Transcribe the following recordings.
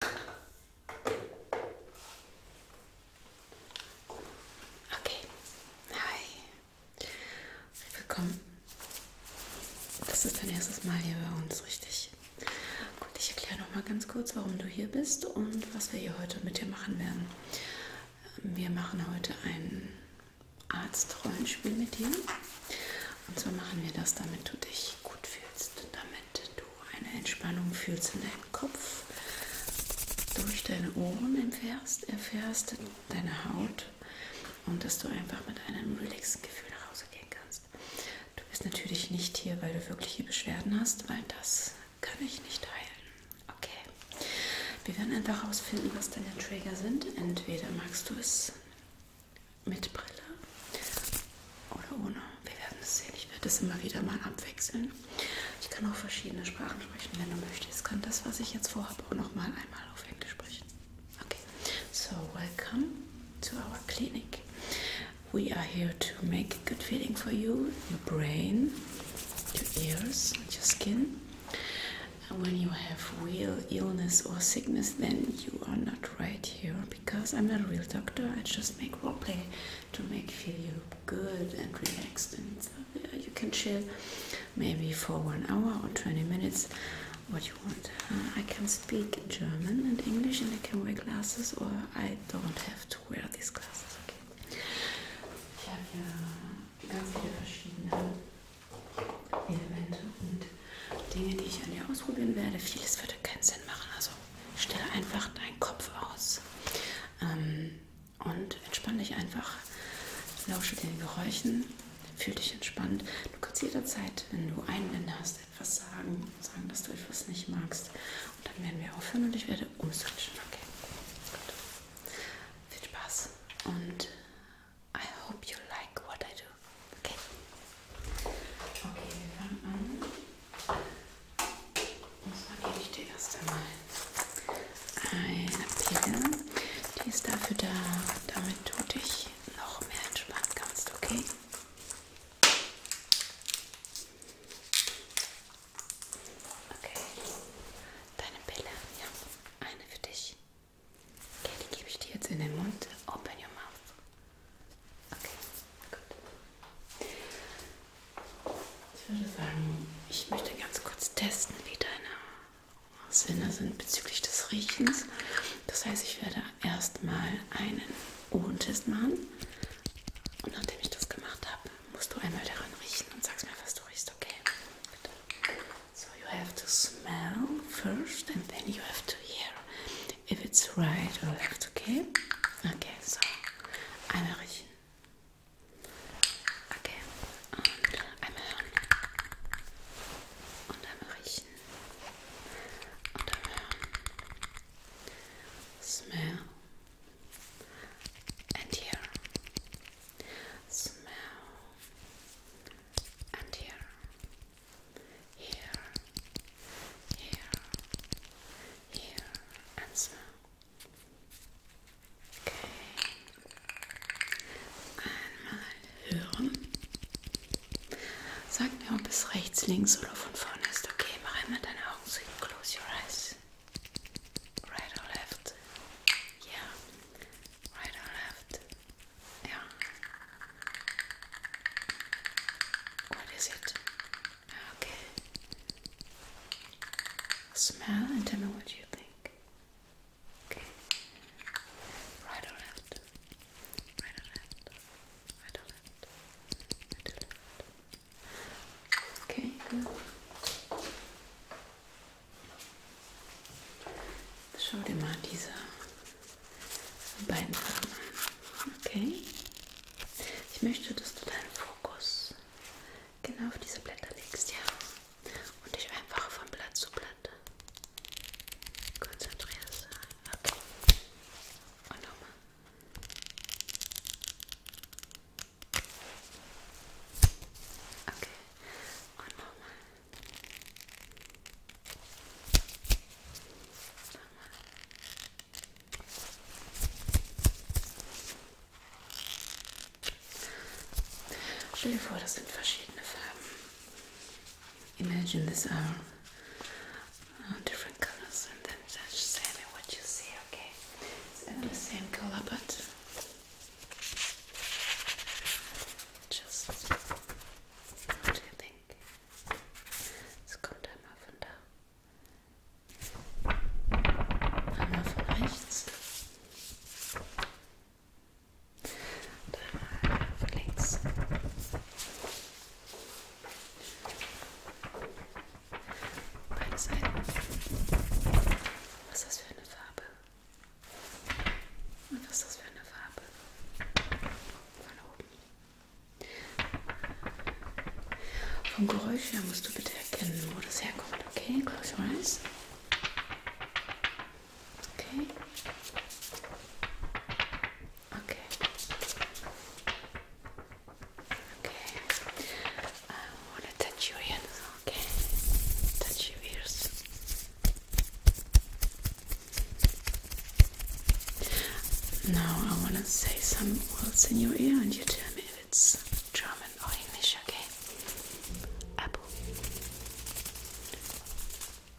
Okay, hi. Willkommen. Das ist dein erstes Mal hier bei uns, richtig? Gut, ich erkläre nochmal ganz kurz, warum du hier bist und was wir hier heute mit dir machen werden. Wir machen heute ein Arzt-Rollenspiel mit dir. Und zwar machen wir das, damit du dich gut fühlst, damit du eine Entspannung fühlst in deinem Kopf, durch deine Ohren erfährst, erfährst deine Haut und dass du einfach mit einem relaxten Gefühl nach Hause gehen kannst. Du bist natürlich nicht hier, weil du wirkliche Beschwerden hast, weil das kann ich nicht heilen. Okay. Wir werden einfach herausfinden, was deine Trigger sind. Entweder magst du es mit Brille oder ohne. Wir werden es sehen. Ich werde das immer wieder mal abwechseln. Ich kann auch verschiedene Sprachen sprechen, wenn du möchtest. Kann das, was ich jetzt vorhabe, auch nochmal einmal auf Englisch sprechen. Okay. So, welcome to our clinic. We are here to make a good feeling for you, your brain, your ears, and your skin. And when you have real illness or sickness, then you are not right here because I'm not a real doctor, I just make roleplay to make feel you good and relaxed and so, yeah, you can chill maybe for one hour or 20 minutes what you want. Uh, I can speak German and English and I can wear glasses or I don't have to wear these glasses. Okay. Ich habe ja ganz viele verschiedene Elemente und Dinge, die ich an dir ausprobieren werde. Vieles würde keinen Sinn machen. Also Stell einfach deinen Kopf aus ähm, und entspann dich einfach. Lausche den Geräuschen, fühl dich entspannt. Du kannst jederzeit, wenn du Einwände hast, etwas sagen, sagen, dass du etwas nicht magst. Und dann werden wir aufhören und ich werde umswitchen. Okay. Gut. Viel Spaß und I hope you like what I do. Okay. Okay, wir fangen an. So, nehme ich dir erst einmal eine Pille. Die ist dafür da, damit du dich noch mehr entspannen kannst, okay? Okay. Deine Pille, ja. Eine für dich. Okay, die gebe ich dir jetzt in den Mund. Open your mouth. Okay, gut. Ich würde sagen, ich möchte ganz kurz testen, wie deine Sinne sind bezüglich des Riechens. Das heißt, ich werde erstmal einen Ohrentest machen. Und nachdem ich das gemacht habe, musst du einmal daran riechen und sagst mir, was du riechst, okay? Bitte. So, you have to smell first and then you have to hear. if it's right or left, okay? Okay, so einmal riechen. Okay, und einmal hören. Und einmal riechen. Und einmal hören. Smell. And here. Smell. And here. here, here, here, and so. Okay. Einmal hören. Sag mir, ob es rechts, links oder von vorne ist. Okay, mach einmal deine Augen zu. Close your eyes. Right or left? Yeah. Right or left? Yeah. What is it? Okay. Smell and tell me what you think. Okay. Right or left? Right or left? Right or left? Right or left? Okay, good. Schau dir mal Okay. Ich möchte, dass du deinen Fokus genau auf diese Blätter legst, ja. Und dich einfach von Blatt zu Blatt konzentrierst. Okay. Und nochmal. Okay. Und nochmal. Nochmal. Stell dir vor, das sind verschiedene Farben. Imagine these are uh, different colors and then just tell me what you see, okay? It's not the same color, but uh, just what do you think? Es kommt einmal von da. Einmal von rechts. Und einmal von links. Beide Seiten. Was ist das für eine Farbe? Und was ist das für eine Farbe? Von oben. Vom Geräusch her musst du bitte erkennen, wo das herkommt. Okay, close your eyes. Okay. Okay. Okay. I want to touch your ears. Okay. Touch your ears. Now I want to say some words in your ear and you tell me if it's German or English, okay? Apple.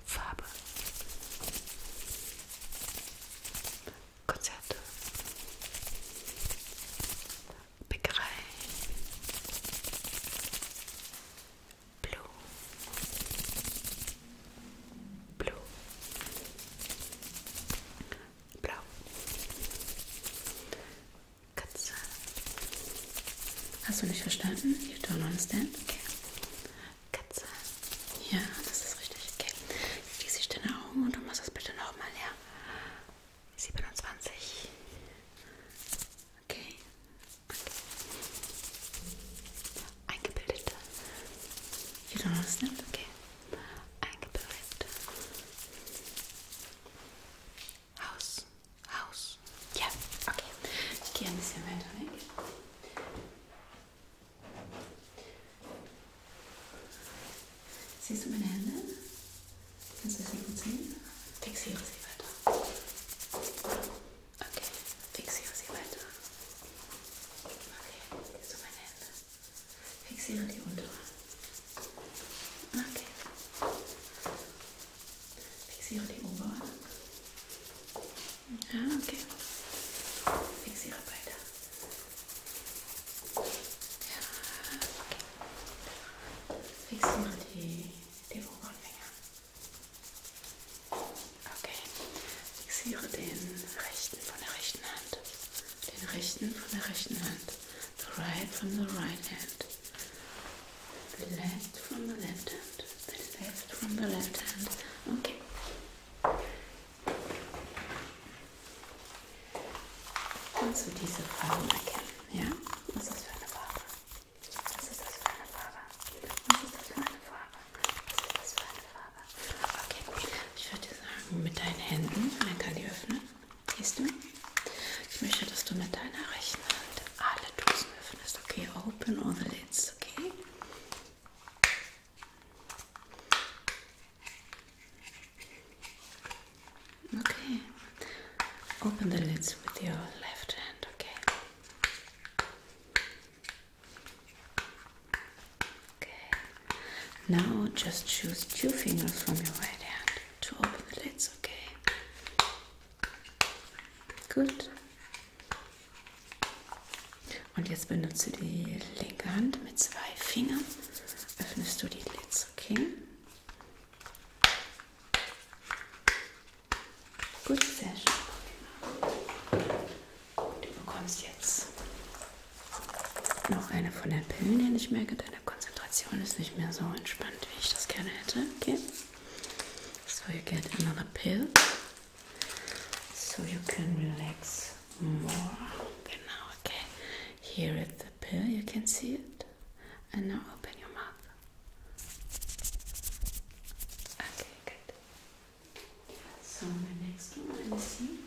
Farbe. Konzerte. Bäckerei. Blue. Blue. Blau. Katze. Hast du nicht verstanden? You don't understand? Okay. Katze. Ja, das ist richtig. Okay. Schließe ich deine Augen und du machst das bitte nochmal her. 27. Okay. okay. Eingebildete. You don't understand? Okay eingebildet. Haus, Haus. Ja, okay. Ich gehe ein bisschen weiter weg. Siehst du meine Hände? Kannst du sie gut sehen? Fixiere sie weiter. Okay, fixiere sie weiter. Okay, siehst du meine Hände? Fixiere die untere. Okay. Fixiere die obere. Ja, okay. Fixiere beide. Ja, okay. Fixiere die, die oberen Finger. Okay. Fixiere den rechten von der rechten Hand den rechten von der rechten Hand, the right from the right hand, the left from the left hand, the left from the left hand. Okay. Kannst du diese Farbe erkennen? Ja? Was ist das für eine Farbe? Was ist das für eine Farbe? Was ist das für eine Farbe? Was ist das für eine Farbe? habe. Okay, ich würde sagen, mit deinen Händen, dann kann die öffnen. Siehst du? Ich möchte, dass du mit deiner rechten Hand alle Dosen öffnest. Okay, open all the lids, okay? Okay, open the lids with your left hand, okay? Okay. Now just choose two fingers from your right hand to open the lids, okay? Gut. Und jetzt benutzt du die linke Hand mit zwei Fingern. Öffnest du die Lids, okay? Gut, sehr schön. Du bekommst jetzt noch eine von den Pillen, die ich merke, deine Konzentration ist nicht mehr so entspannt, wie ich das gerne hätte. Okay? So you get another pill. So you can relax more. Genau, okay. Here is the pill, you can see it. And now open your mouth. Okay, good. So, my next one, let me see.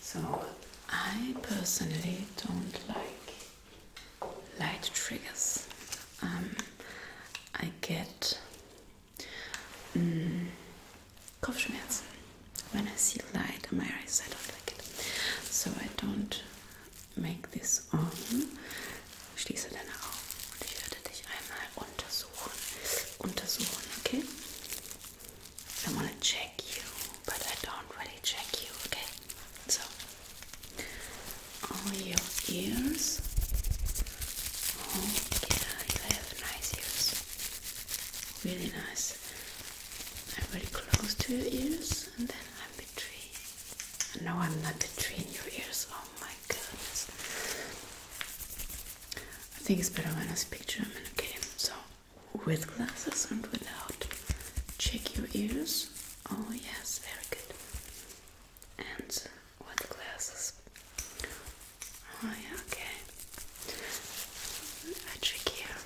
So, I personally don't like light triggers. Um, I get um, mm, Kopfschmerzen when I see light in my eyes. I don't like it. So, I don't make this on. Schließe deine Augen und ich werde dich einmal untersuchen. I want to check you, but I don't really check you, okay? So, all your ears. Oh yeah, you have nice ears. Really nice. I'm very close to your ears, and then I'm betraying. No, I'm not betraying your ears. Oh my goodness. I think it's better when I speak German, okay? So, with glasses and without. Check your ears. Oh, yes, very good. And with glasses. Oh, yeah, okay. I check here.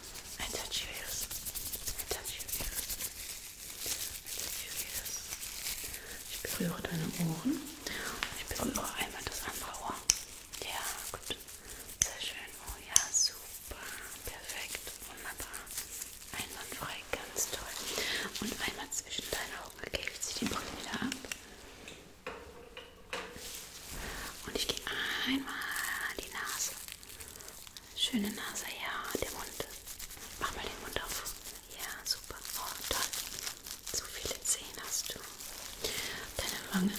I touch your ears. I touch your ears. I touch your ears. Ich berühre deine Ohren. Ich berühre einmal das andere Ohr. Ja, gut. Sehr schön. Oh ja, super. Perfekt. Wunderbar. Einwandfrei. Ganz toll. Und einmal zwischen deinen Augen. Okay, ich ziehe die Brille wieder ab. Und ich gehe einmal die Nase. Schöne Nase, ja. Der Mund. Mach mal den Mund auf. Ja, super. Oh, toll. Zu viele Zehen hast du. Deine Wange.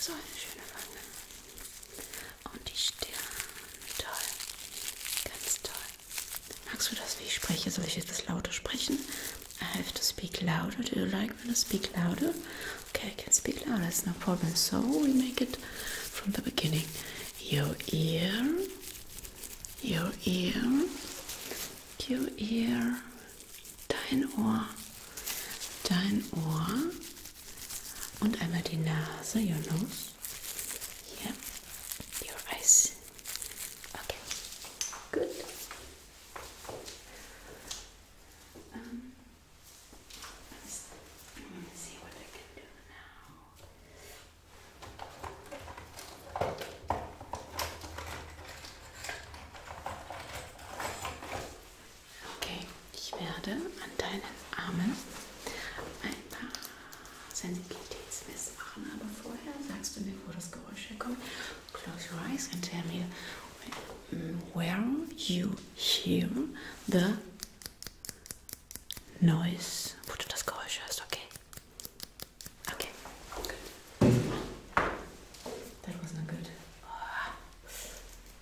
So eine schöne Wange. Und die Stirn. Toll. Ganz toll. Magst du das, wie ich spreche? Soll ich jetzt das lauter sprechen? I have to speak louder. Do you like me to speak louder? Okay, I can speak louder. It's no problem. So we make it from the beginning. Your ear. Your ear your ear, dein Ohr, dein Ohr und einmal die Nase, your nose, here, your eyes. Okay, good. Um, let's, let's see what I can do now. Okay, ich werde an deinen Armen ein paar Sensitivitätsmessen machen, aber vorher sagst du mir, wo das Geräusch herkommt. Close your eyes and tell me where you hear the noise, wo du das Geräusch hörst, okay? Okay, That was not good.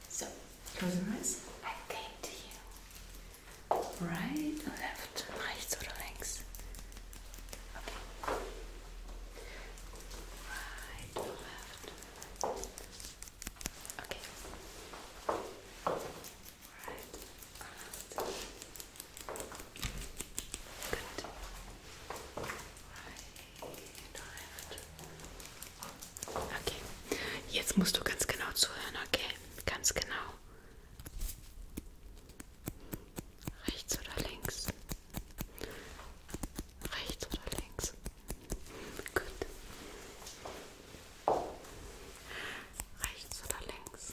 So, close your eyes. I to you. Right left, right to the Okay. Right left. Okay. Right left. Good. Okay, jetzt musst du ganz genau zuhören, okay? Ganz genau. Rechts oder links? Rechts oder links? Gut. Rechts oder links?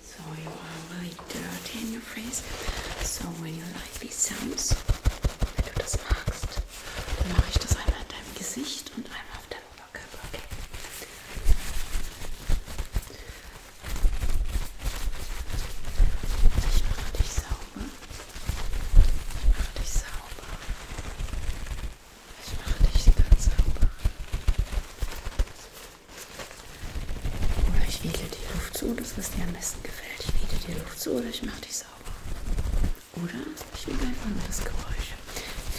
So you are really dirty in your face. So when you like these sounds, wenn du das magst, dann mache ich das einmal in deinem Gesicht und einmal auf deinem Oberkörper. Okay. Ich mache dich sauber. Ich mache dich sauber. Ich mache dich ganz sauber. Oder ich wähle die Luft zu, das was dir am besten gefällt. Ich wähle die Luft zu oder ich mache dich sauber. Oder ich wähle ein anderes Geräusch.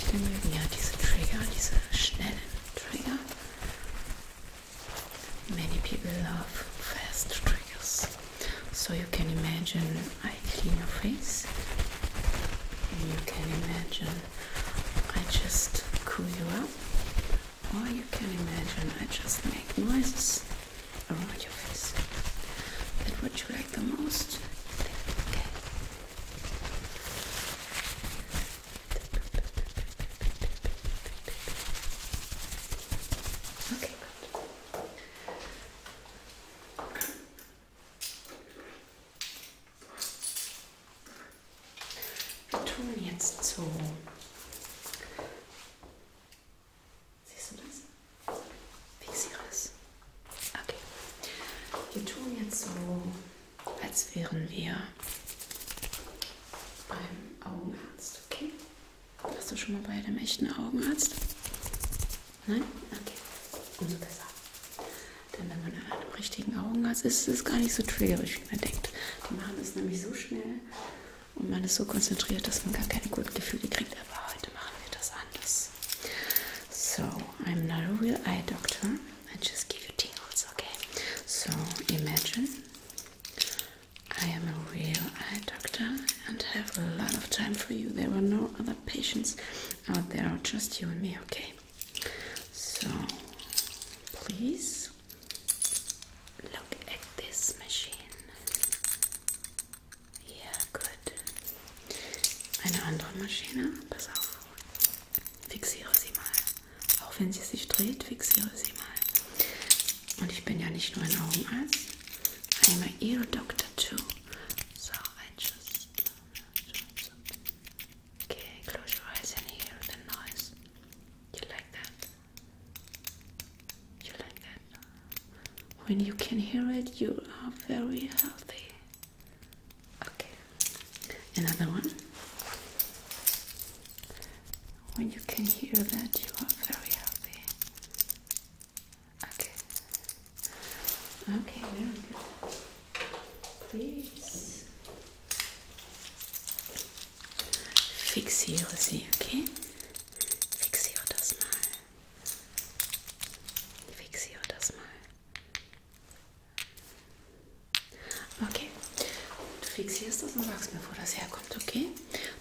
Viele mögen ja diese Trigger, diese schnellen Trigger. Many people love fast triggers. So you can imagine I clean your face, you can imagine I just cool you up, or you can imagine I just make noises around your face. That would you like the most. Okay. Okay, Wir tun jetzt so. Siehst du das? Fixiere es. Okay. Wir tun jetzt so, als wären wir beim Augenarzt, okay? Warst du schon mal bei dem echten Augenarzt? Nein? Okay. Umso besser. Denn wenn man einen richtigen Augen hat, ist es gar nicht so triggerisch, wie man denkt. Die machen es nämlich so schnell und man ist so konzentriert, dass man gar keine guten Gefühle kriegt. Aber heute machen wir das anders. So, I'm not a real eye doctor. I just give you tingles, okay? So, imagine I am a real eye doctor and have a lot of time for you. There are no no other patients out there, just you and me, okay? So, please look at this machine. Ja, gut. Eine andere Maschine, pass auf. Fixiere sie mal. Auch wenn sie sich dreht, fixiere sie mal. Und ich bin ja nicht nur ein Augenarzt, I'm a ear doctor too. So, Okay, close your eyes and hear the noise. You like that? You like that? When you can hear it, you are very healthy. Okay, another one. When you can hear that, you are very healthy. Okay. Okay, very good. Please fixiere sie, okay? Fixiere das mal. Fixiere das mal. Okay. Du fixierst das und sagst mir, wo das herkommt, okay?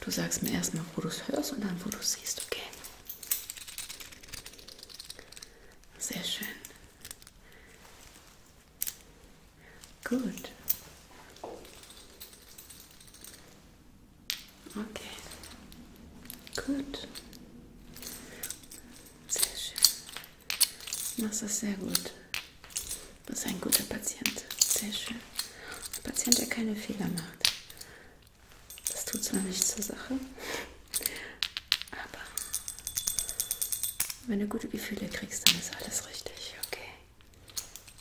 Du sagst mir erstmal, wo du es hörst und dann, wo du es siehst, okay? Sehr schön. Gut. Okay. Gut. Sehr schön. Das ist sehr gut. Das ist ein guter Patient. Sehr schön. Ein Patient, der keine Fehler macht. Das tut zwar nichts zur Sache, aber wenn du gute Gefühle kriegst, dann ist alles richtig, okay?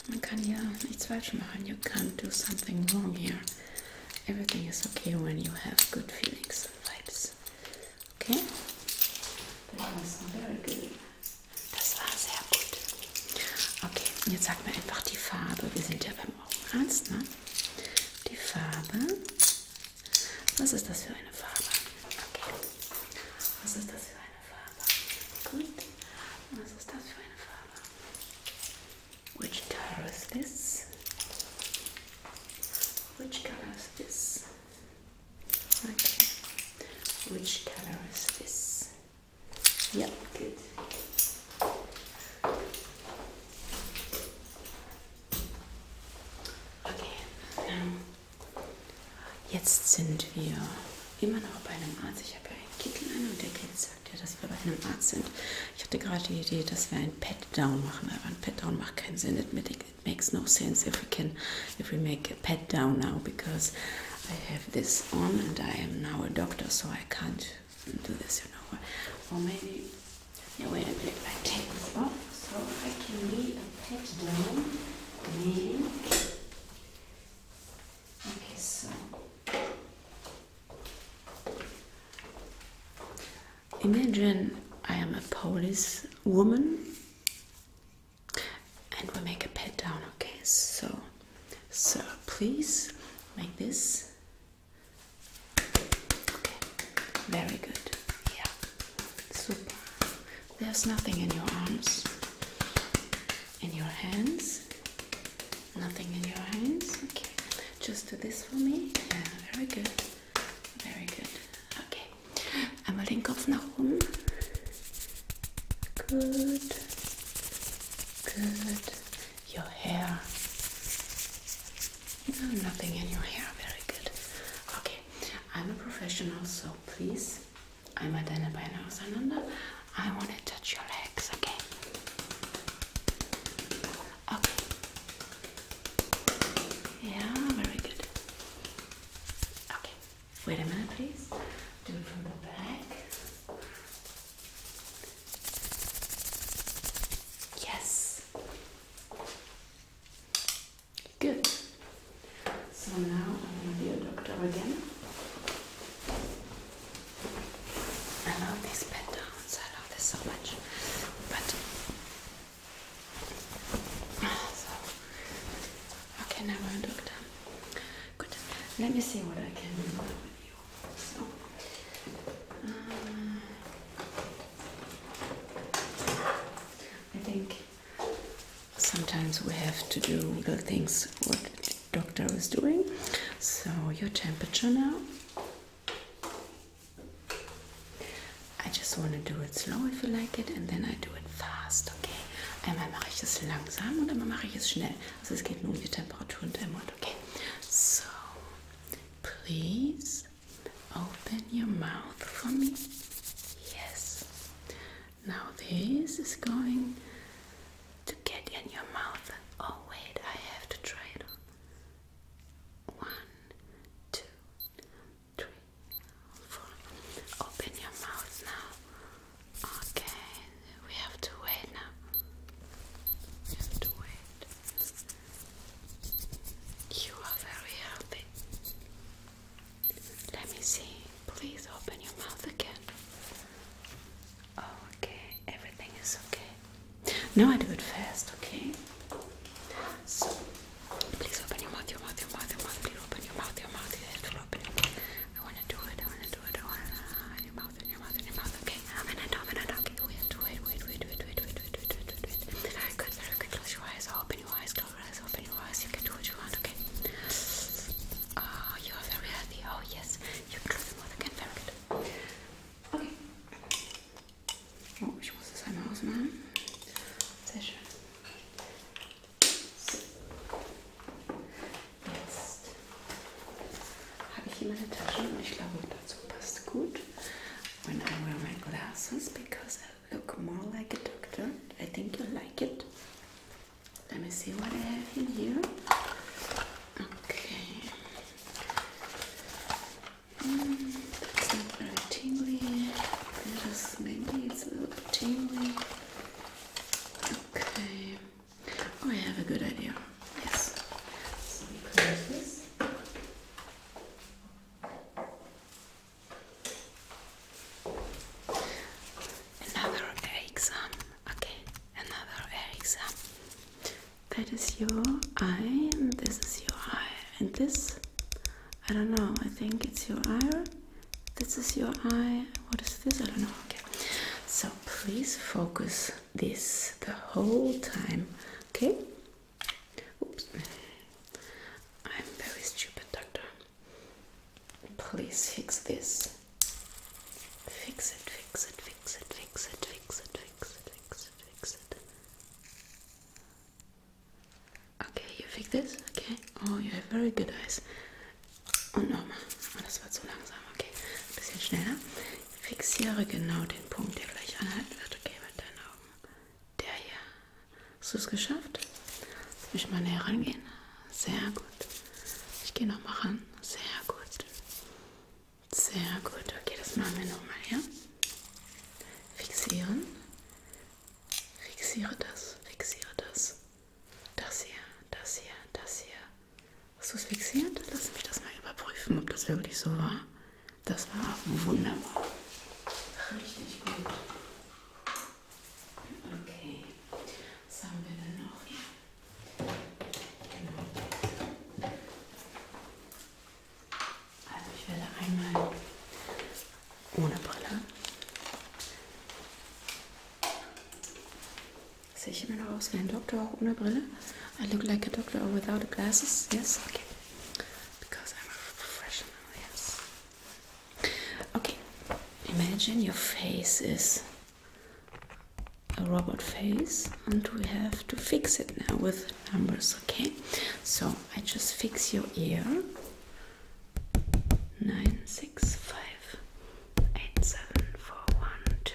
Man kann ja nichts falsch machen. You can't do something wrong here. Everything is okay when you have good feelings and vibes. Okay? That was very good. Das war sehr gut. Okay, jetzt sag mir einfach die Farbe. Wir sind ja beim beim Augenarzt. Ne? Die Farbe. Was ist das für eine Farbe? Okay. Was ist das für eine Farbe? Gut. Was ist das für eine Farbe? Which color is this? Which color is this? Okay. Which color is this? Ja, gut. Okay. Ähm, jetzt sind wir immer noch bei einem Arzt. Ich habe ja einen Kittel an und der Kittel sagt ja, dass wir bei einem Arzt sind. Ich hatte gerade die Idee, dass wir einen Pat-Down machen, aber ein Pat-Down macht keinen Sinn. It makes no sense if we can, if we make a Pat-Down now, because I have this on and I am now a doctor, so I can't should do this, you know. what? Or maybe, yeah, wait a minute, I take this off so I can be a pet down. okay, so imagine I am a police woman and we make a pet down, okay? So, so please make this very good. Yeah. Super. There's nothing in your arms. In your hands. Nothing in your hands. Okay. Just do this for me. Yeah, very good. Very good. Okay. Einmal den Kopf nach oben. Good. Good your hair. No, nothing in your hair. Very good. Okay, I'm a professional, so please. I'm Adana Baina Sananda. I want to touch your legs, okay? Okay. Yeah, very good. Okay, wait a minute, please. Do it from the back. Yes. Good. So now I'm gonna be a doctor again. I love these pet I love this so much. But so okay, now we're a doctor. Good. Let me see what I can do with you. So, I think sometimes we have to do the things what doctor is doing. So, your temperature now. I just want to do it slow if you like it and then I do it fast, okay? Einmal mache ich es langsam und einmal mache ich es schnell. Also es geht nur um die Temperatur und der Mund, okay? So, Please open your mouth for me. Yes. Now this is going to get in your mouth. Oh wait, I have to try it One, two, three, four. Open your mouth now. Okay, we have to wait now. We wait. You are very healthy. Let me see. Please open your mouth again. Oh, okay. Everything is okay. Now I do it fast, okay? So, please open your mouth, your mouth, your mouth, your mouth. Please open your mouth, your mouth. You have to open your mouth. I want to do it. I want to do it. I want to. Your mouth your mouth, in your mouth, okay? I'm in it, I'm in it, okay? Wait, wait, wait, wait, wait, wait, wait, wait, wait, wait, wait. Very good, very good. Close your eyes, open your eyes, close your eyes, open your eyes. You can do what you want, okay? Oh, you are very healthy. Oh, yes. You can close your mouth again, very good. Okay. Oh, ich muss das einmal ausmachen. Sehr schön. So. Jetzt habe ich hier meine Taschen und ich glaube dazu passt gut. When I wear my glasses because I look more like a doctor. I think you like it. Let me see what I have in here. Okay. Mm, that's not very tingly. Just maybe it's a little tingly. Okay. Oh, I have a good idea. Another exam. Okay, another exam. That is your eye, this is your eye, and this. I don't know, I think it's your eye. This is your eye. What is this? I don't know. Okay. So please focus this the whole time, okay? Oops, I'm very stupid, doctor. Please fix this. Fix it, fix it, fix it, fix it, fix it, fix it, fix it, fix it. Okay, you fix this, okay? Oh, you have very good eyes. Und nochmal. Oh, das wird zu langsam, okay? Ein bisschen schneller. Fixiere genau den Punkt, der gleich anhalten wird. Okay, mit deinen Augen. Der hier. Hast du es geschafft? Lass mich mal näher rangehen. Sehr gut. Ich gehe nochmal ran. Sehr gut. Sehr gut. Okay, das machen wir nochmal, ja? Fixieren. Fixiere das. Fixiere das. Das hier. Das hier. Das hier. Hast du es fixiert? Lass mich das mal überprüfen, ob das wirklich so war. Das war wunderbar. Richtig gut. Okay. Was haben wir denn noch hier? Genau. Also ich werde einmal ohne Brille. Sehe ich immer noch aus wie ein Doktor auch ohne Brille? I look like a doctor or without glasses? Yes, okay. Because I'm a professional, yes. Okay, imagine your face is a robot face, and we have to fix it now with numbers, okay? So I just fix your ear. Nine, six, five, eight, seven, four, one, two,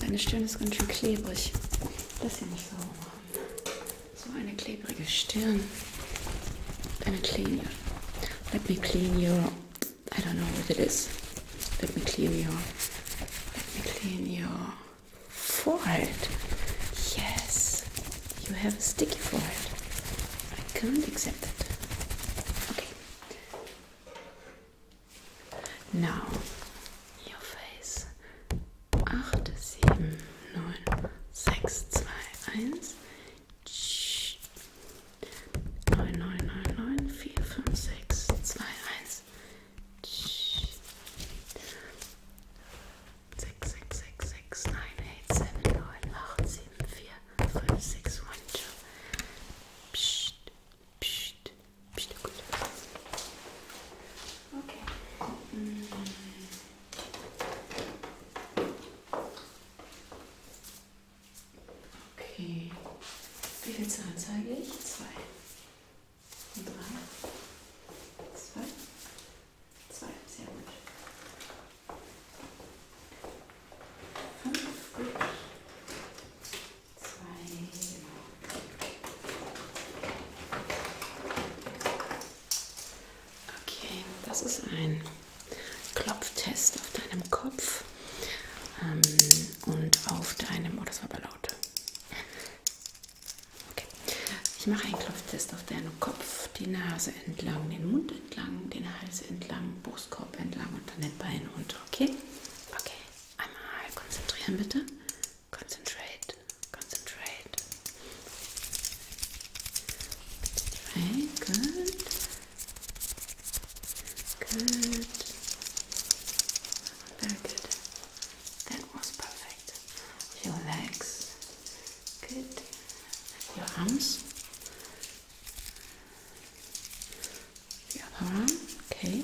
Deine Stirn ist ganz schön klebrig. Das hier nicht sauber machen. So eine klebrige Stirn. Deine clean you. Let me clean you. I don't know what it is. Let me clean you. Let me clean your forehead. Yes, you have a sticky forehead. I can't accept that. Okay. Now, your face. 8, 7, 9, 5, 6 Hunde. Psst, psst, psst, gut. Okay. Mm. Okay. Wie viel Zahlen zeige ich? Zwei. Und drei. Zwei. Zwei. Sehr gut. Okay, das ist ein Klopftest auf deinem Kopf ähm, und auf deinem. Oh, das war aber laut. Okay. Ich mache einen Klopftest auf deinen Kopf, die Nase entlang, den Mund entlang, den Hals entlang am Brustkorb entlang und dann den Beinen runter, okay? Okay, einmal konzentrieren bitte. Concentrate, concentrate. Right, good. Good. Very good. That was perfect. Your legs. Good. Your arms. The other arm, okay.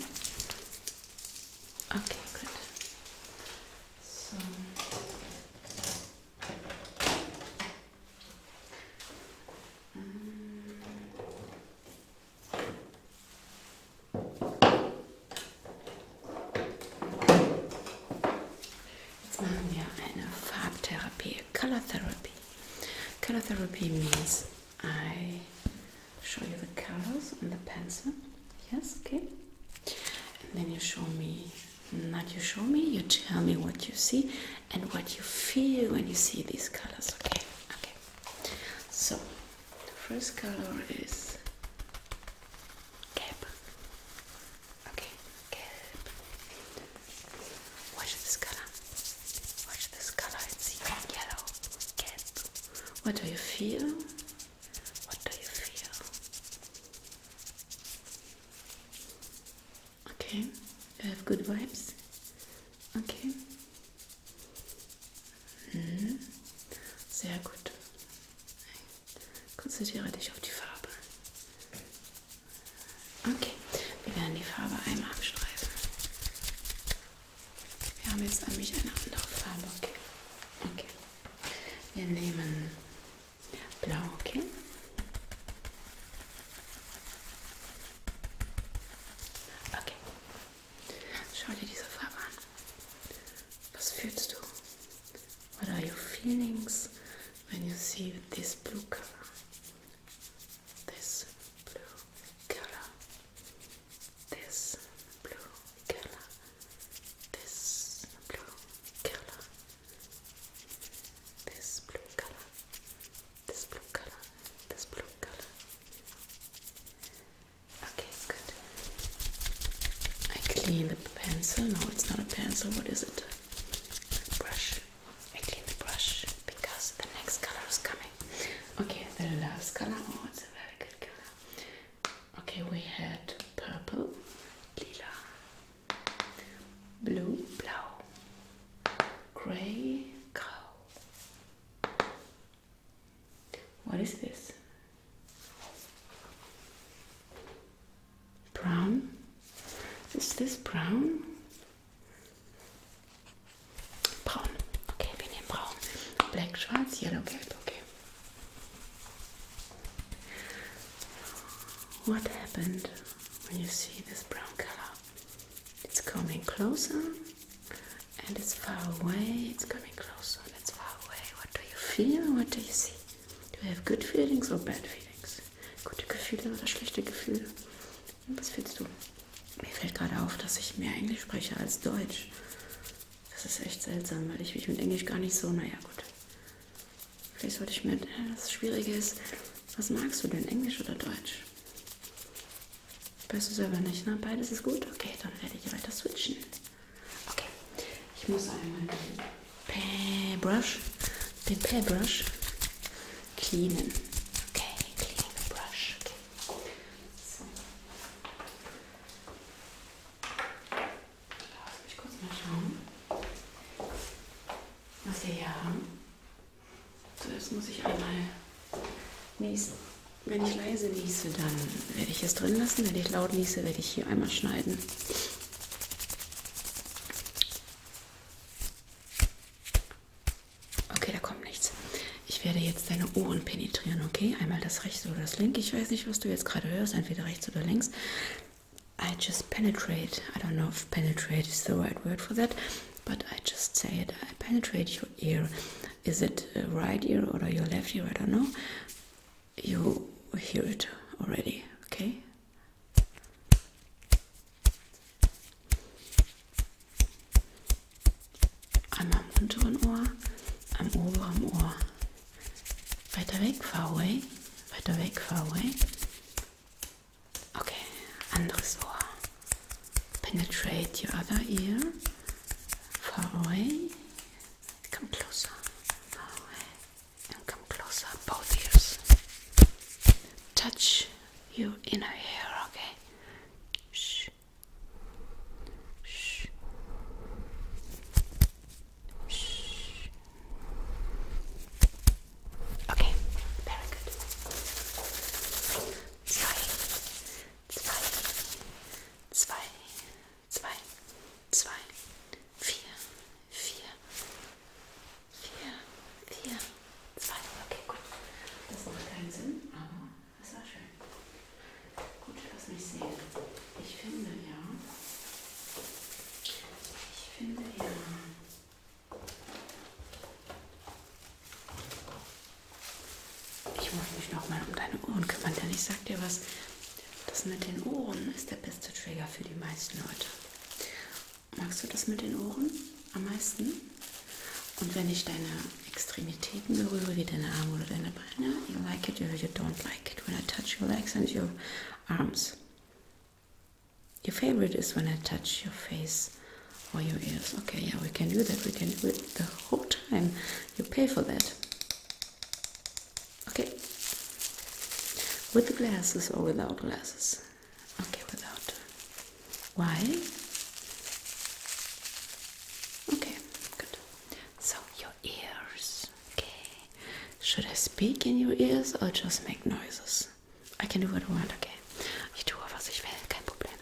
Okay, good. So um, Jetzt machen wir eine Farbtherapie, Color Therapy. Color therapy means I show you the colors on the pencil. Yes, okay. And then you show me, not you show me, you tell me what you see and what you feel when you see these colors. Okay, okay. So the first color is kelp. Okay, kelp. Watch this color. Watch this color. It's yellow. Get. What do you feel? What do you feel? Okay. You have good vibes. Okay. Hm. Sehr gut. Konzentriere dich auf die Farbe. Okay, wir werden die Farbe einmal abstreifen. Wir haben jetzt nämlich eine andere Farbe, okay? Okay. Wir nehmen blau, okay? Okay. Schau dir diese Farbe an. Was fühlst du? What are your feelings when you see this blue color? this blue color, this blue color, this blue color, this blue color, this blue color, this blue color. Okay, good. I clean the pencil. No, it's not a pencil. What is it? A brush. I clean the brush because the next color is coming. Okay, the last color. Oh, it's a very good color. Okay, we had purple, lila, blue, blau, grey, cow. What is this? Brown? Is this brown? Braun. Okay, wir nehmen braun. Black, schwarz, yellow, gelb. Okay. What happened when you see this brown color? It's coming closer and it's far away. It's coming closer and it's far away. What do you feel? What do you see? Do you have good feelings or bad feelings? Gute Gefühle oder schlechte Gefühle? Was findest du? Mir fällt gerade auf, dass ich mehr Englisch spreche als Deutsch. Das ist echt seltsam, weil ich mich mit Englisch gar nicht so, naja gut. Vielleicht sollte ich mir, das Schwierige ist, was magst du denn, Englisch oder Deutsch? Weißt du selber nicht, ne? Beides ist gut? Okay, dann werde ich weiter switchen. Okay, ich muss einmal den Paybrush, den Paybrush cleanen. Okay, cleaning the brush. So. Lass mich kurz mal schauen, was wir hier haben. Zuerst muss ich einmal niesen. Wenn ich leise niese, dann werde ich es drin lassen. Wenn ich laut niese, werde ich hier einmal schneiden. Okay, da kommt nichts. Ich werde jetzt deine Ohren penetrieren, okay? Einmal das rechte oder das linke. Ich weiß nicht, was du jetzt gerade hörst, entweder rechts oder links. I just penetrate. I don't know if penetrate is the right word for that, but I just say it. I penetrate your ear. Is it uh, right ear or your left ear? I don't know. You hear it already, okay? Einmal am unteren Ohr, am oberen Ohr. Weiter weg, far away. Weiter weg, far away. Okay, anderes Ohr. Penetrate your other ear. Far away. Come closer. And come closer. Both ears. Touch you inner hair, okay? Shh. Shh. Shh. Okay, very good. Zwei, zwei, zwei, zwei, zwei, vier, vier, Vier, vier, zwei. Okay, gut. Das macht keinen Sinn, aber es war schön. Gut, lass mich sehen. Ich finde ja. Ich finde ja. Ich muss mich nochmal um deine Ohren kümmern, denn ich sag dir was. Das mit den Ohren ist der beste Trigger für die meisten Leute. Magst du das mit den Ohren am meisten? Und wenn ich deine Extremitäten berühre, wie deine Arme oder deine Beine, you like it or you don't like it when I touch your legs and your arms. Your favorite is when I touch your face or your ears. Okay, yeah, we can do that. We can do it the whole time. You pay for that. Okay. With the glasses or without glasses. Okay, without. Why? Okay, good. So, your ears. Okay. Should I speak in your ears or just make noises? I can do what I want, okay. you tue, was ich will, kein Problem.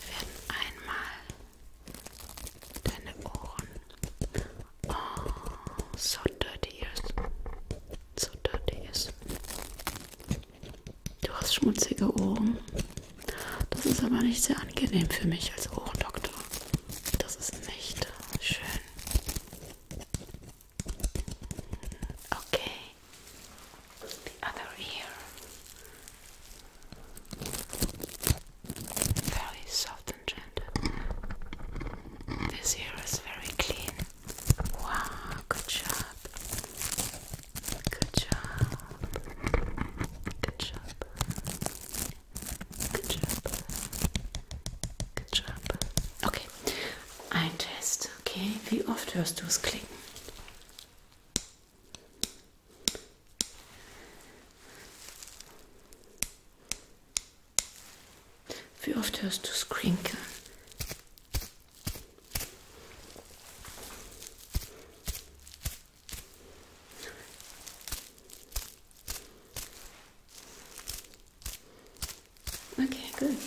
Wir werden einmal deine Ohren. Oh, so dirty ears. So dirty ears. Du hast schmutzige Ohren. Das ist aber nicht sehr angenehm für mich als Ohrendoktor. Das ist nicht schön. Okay. The other ear. Very soft and gentle. This ear is very clean. Wow, good job. Good job. Good job. Good job. Good job. Okay, ein Test. Okay, wie oft hörst du es klicken? Wie oft hörst du es klinken? Okay, good.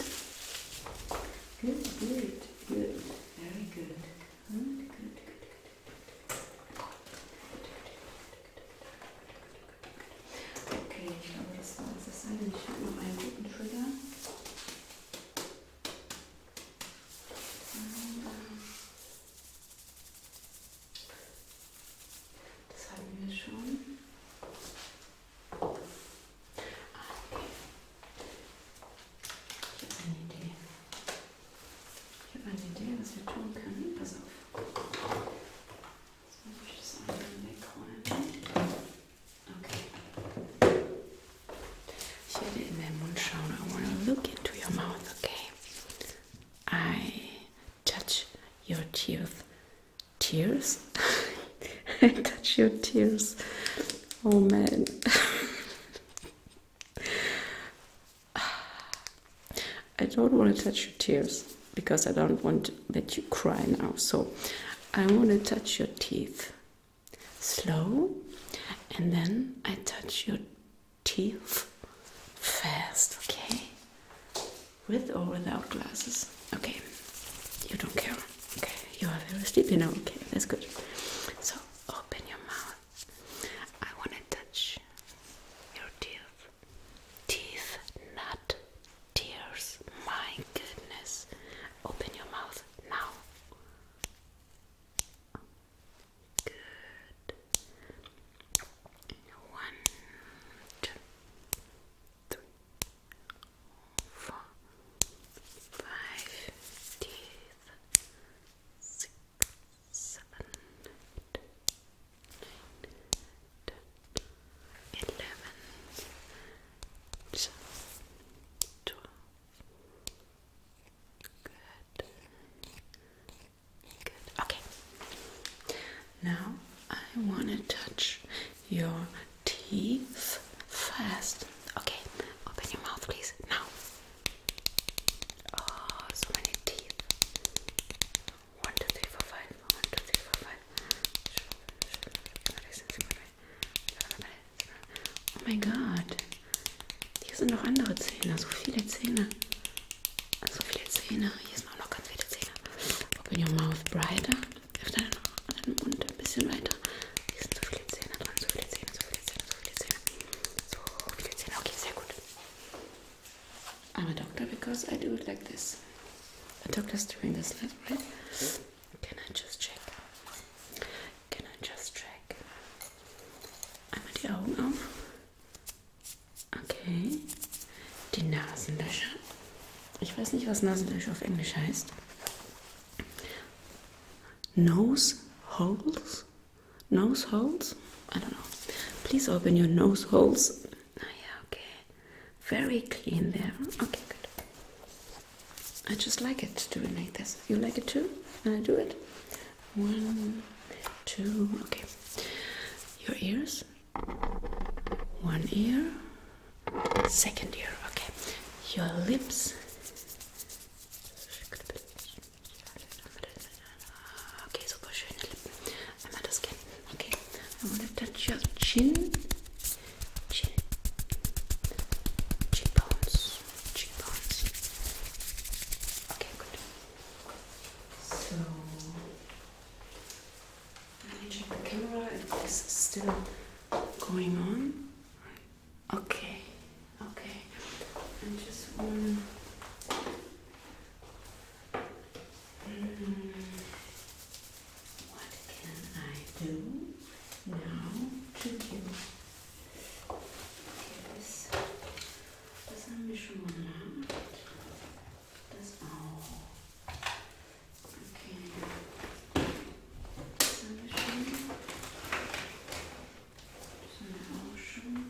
Good, good, good. Very good. Good, good, good, good. Okay, ich glaube, das war alles. Das sei denn, ich habe noch einen guten Trigger. Das hatten wir schon. Ah, okay. Ich habe eine Idee. Ich habe eine Idee, was wir tun können. Pass auf. Jetzt muss ich das einmal wegräumen. Okay. Ich werde in deinen Mund I want to look into your mouth, okay? I touch your teeth. Tears? I touch your tears. Oh man. I don't want to touch your tears because I don't want that you cry now. So I want to touch your teeth slow, and then I touch your teeth fast, okay? With or without glasses, okay? You don't care, okay? You are very sleepy now, okay? That's good. So open your mouth. I want to touch your teeth. Teeth, not tears. My goodness. Open your mouth now. Good. One, two, three, four, five, twelve. Good. Good. Okay. Now I want to touch your teeth first. Okay. Open your mouth, please. Now. Oh, so many teeth. One, two, three, four, five. One, two, three, four, five. Oh mein Gott. Hier sind noch andere Zähne. So viele Zähne. So viele Zähne. Hier sind auch noch ganz viele Zähne. Open your mouth brighter. Öffne deinen Mund ein bisschen weiter. Hier sind so viele Zähne dran. So viele Zähne, so viele Zähne, so viele Zähne. So viele Zähne. Okay, sehr gut. I'm a doctor because I do it like this. A doctor's doing this, right? Can I just check? Can I just check? Einmal die Augen auf. Okay. Die Nasenlöcher. Ich weiß nicht, was Nasenlöcher auf Englisch heißt. Nose holes? Nose holes? I don't know. Please open your nose holes. Ah ja, okay. Very clean there. Okay, good. I just like it to do it like this. You like it too? Can I do it? One, two, okay. Your ears. One ear. Second ear, okay. Your lips. Okay, super schöne Lippen. Einmal das Kinn. Okay, I want to touch your chin chin, cheekbones, cheekbones. Okay, good. So let me check the camera if this is still going on. Okay, okay. I just want mm, what can I do now to you? Okay, das, das haben wir schon mal gemacht. Okay. Das haben wir schon.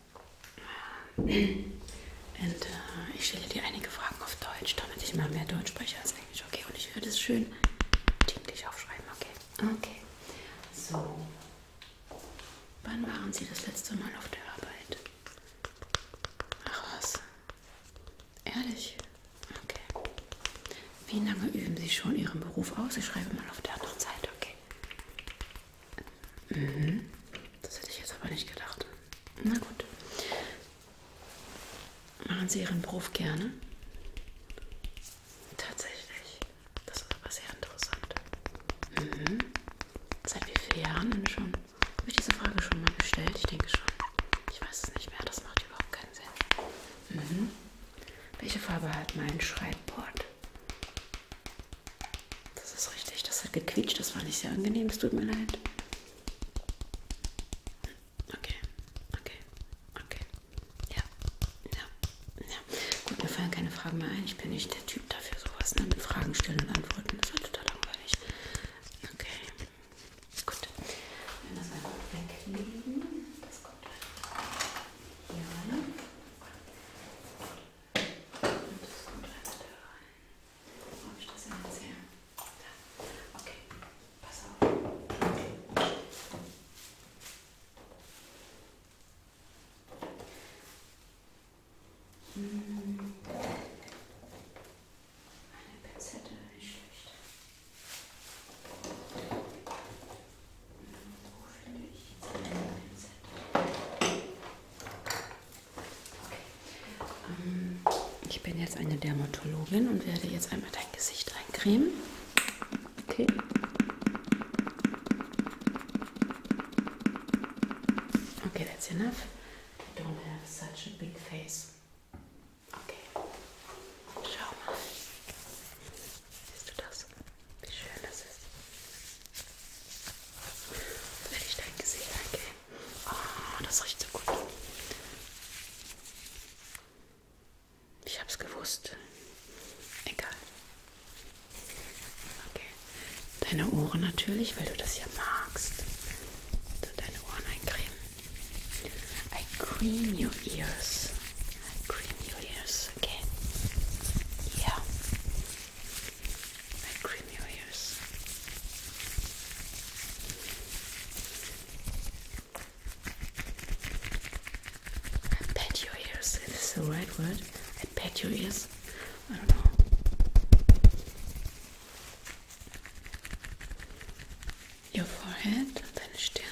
Und äh, ich stelle dir einige Fragen auf Deutsch, damit ich mal mehr Deutsch spreche als Englisch, okay? Und ich werde es schön dienlich aufschreiben, okay? Okay. So. Wann waren Sie das letzte Mal auf der Arbeit? Ach was. Ehrlich? Okay. Wie lange üben Sie schon Ihren Beruf aus? Ich schreibe mal auf der anderen Seite, okay? Mhm. Das hätte ich jetzt aber nicht gedacht. Na gut. Machen Sie Ihren Beruf gerne? Tatsächlich. Das ist aber sehr interessant. Mhm. Seit wie vielen Jahren denn schon? Habe ich diese Frage schon mal gestellt? Ich denke schon. Ich weiß es nicht mehr. Das macht überhaupt keinen Sinn. Mhm. Welche Farbe hat mein Schreibbord? Das ist richtig, das hat gequietscht, das war nicht sehr angenehm, es tut mir leid. Okay, okay, okay. Ja, ja, ja. Gut, mir fallen keine Fragen mehr ein. Ich bin nicht der Typ dafür, sowas ne? mit Fragen stellen und antworten. Das war total langweilig. Okay, gut. Wenn das einfach weglegen, das kommt hier rein. Und das kommt einfach da rein. Wo habe ich das denn jetzt her? Da. Okay, pass auf. Hm. Eine Pinzette, nicht schlecht. Hm, wo finde ich jetzt eine Pinzette? Okay. Ähm, ich bin jetzt eine Dermatologin und werde jetzt einmal dein Gesicht eincremen. Okay. Okay, that's enough. I don't have such a big face. Okay. Schau mal. Siehst du das? Wie schön das ist. Jetzt werde ich dein Gesicht eincremen. Oh, das riecht so gut. Ich hab's gewusst. Egal. Okay. Deine Ohren natürlich, weil du das hier magst. So also deine Ohren eincremen. I cream your ears. I cream your ears. Okay. Ja. my creamy layers. I pet your ears, is the right word? I pet your ears? I don't know. Your forehead, then Stirn.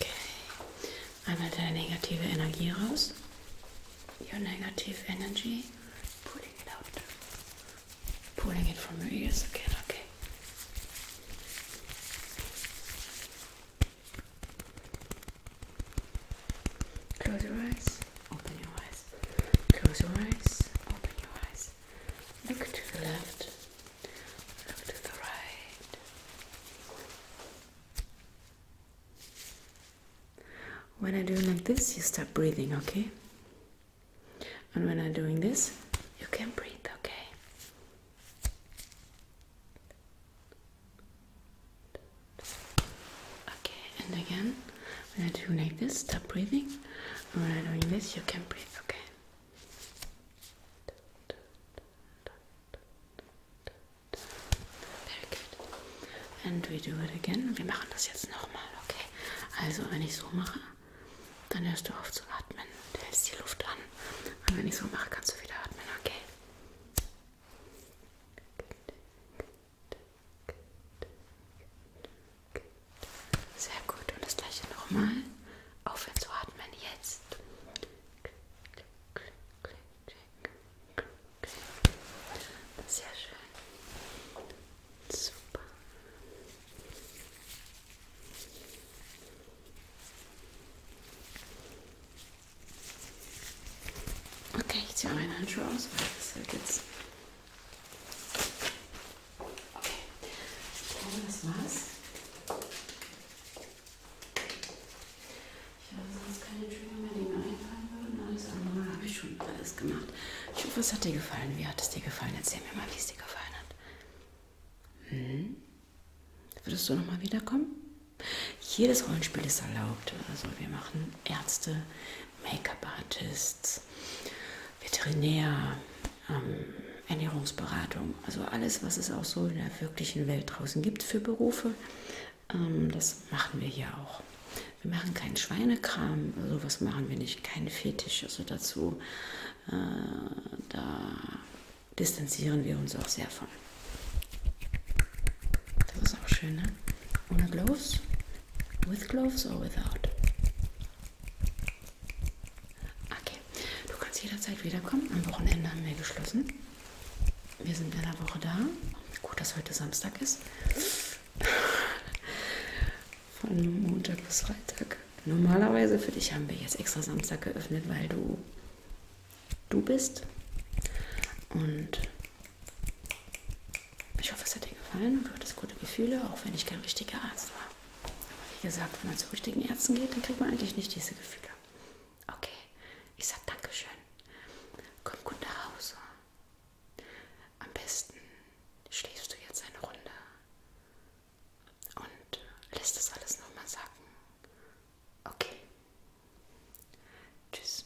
Okay, einmal deine negative energy out. Your negative energy, pulling it out, pulling it from your ears again. Okay. Close your eyes, open your eyes. Close your eyes, open your eyes. Look to the left, look to the right. When I do like this, you stop breathing, okay? And when I'm doing this, you can breathe, okay? Okay, and again, when I do like this, stop breathing. when I'm doing this, you can breathe, okay? Very good. And we do it again. Wir machen das jetzt nochmal, okay? Also, wenn ich so mache, dann hörst du auf zu atmen. Du hältst die Luft an. Und wenn ich so mache, kannst du wieder atmen, okay? Good, good, good, good, sehr gut. Und das gleiche nochmal. Aufhören zu atmen jetzt. Sehr schön. Super. Okay, ich ziehe meine Handschuhe aus, weil das halt jetzt Okay, ich glaube, das war's. Ich habe sonst keine Trigger mehr, die mir einfallen würden. Alles andere habe ich schon alles gemacht. Ich hoffe, es hat dir gefallen. Wie hat es dir gefallen? Erzähl mir mal, wie es dir gefallen hat. Hm? Würdest du nochmal wiederkommen? Jedes Rollenspiel ist erlaubt. Also wir machen Ärzte, Make-up-Artists, Veterinär, ähm, Ernährungsberatung, also alles, was es auch so in der wirklichen Welt draußen gibt für Berufe, ähm, das machen wir hier auch. Wir machen keinen Schweinekram, sowas also machen wir nicht, keine Fetisch, also dazu, äh, da distanzieren wir uns auch sehr von. Das ist auch schön, ne? Ohne Gloves? With gloves or without? Okay, du kannst jederzeit wiederkommen. Am Wochenende haben wir geschlossen. Wir sind in einer Woche da. Gut, dass heute Samstag ist. Von Montag bis Freitag. Normalerweise für dich haben wir jetzt extra Samstag geöffnet, weil du du bist. Und ich hoffe, es hat dir gefallen und du hattest gute Gefühle, auch wenn ich kein richtiger Arzt war wie gesagt, wenn man zu richtigen Ärzten geht, dann kriegt man eigentlich nicht diese Gefühle. Okay, ich sag Dankeschön. Komm gut nach Hause. Am besten schläfst du jetzt eine Runde und lässt das alles nochmal sacken. Okay. Tschüss.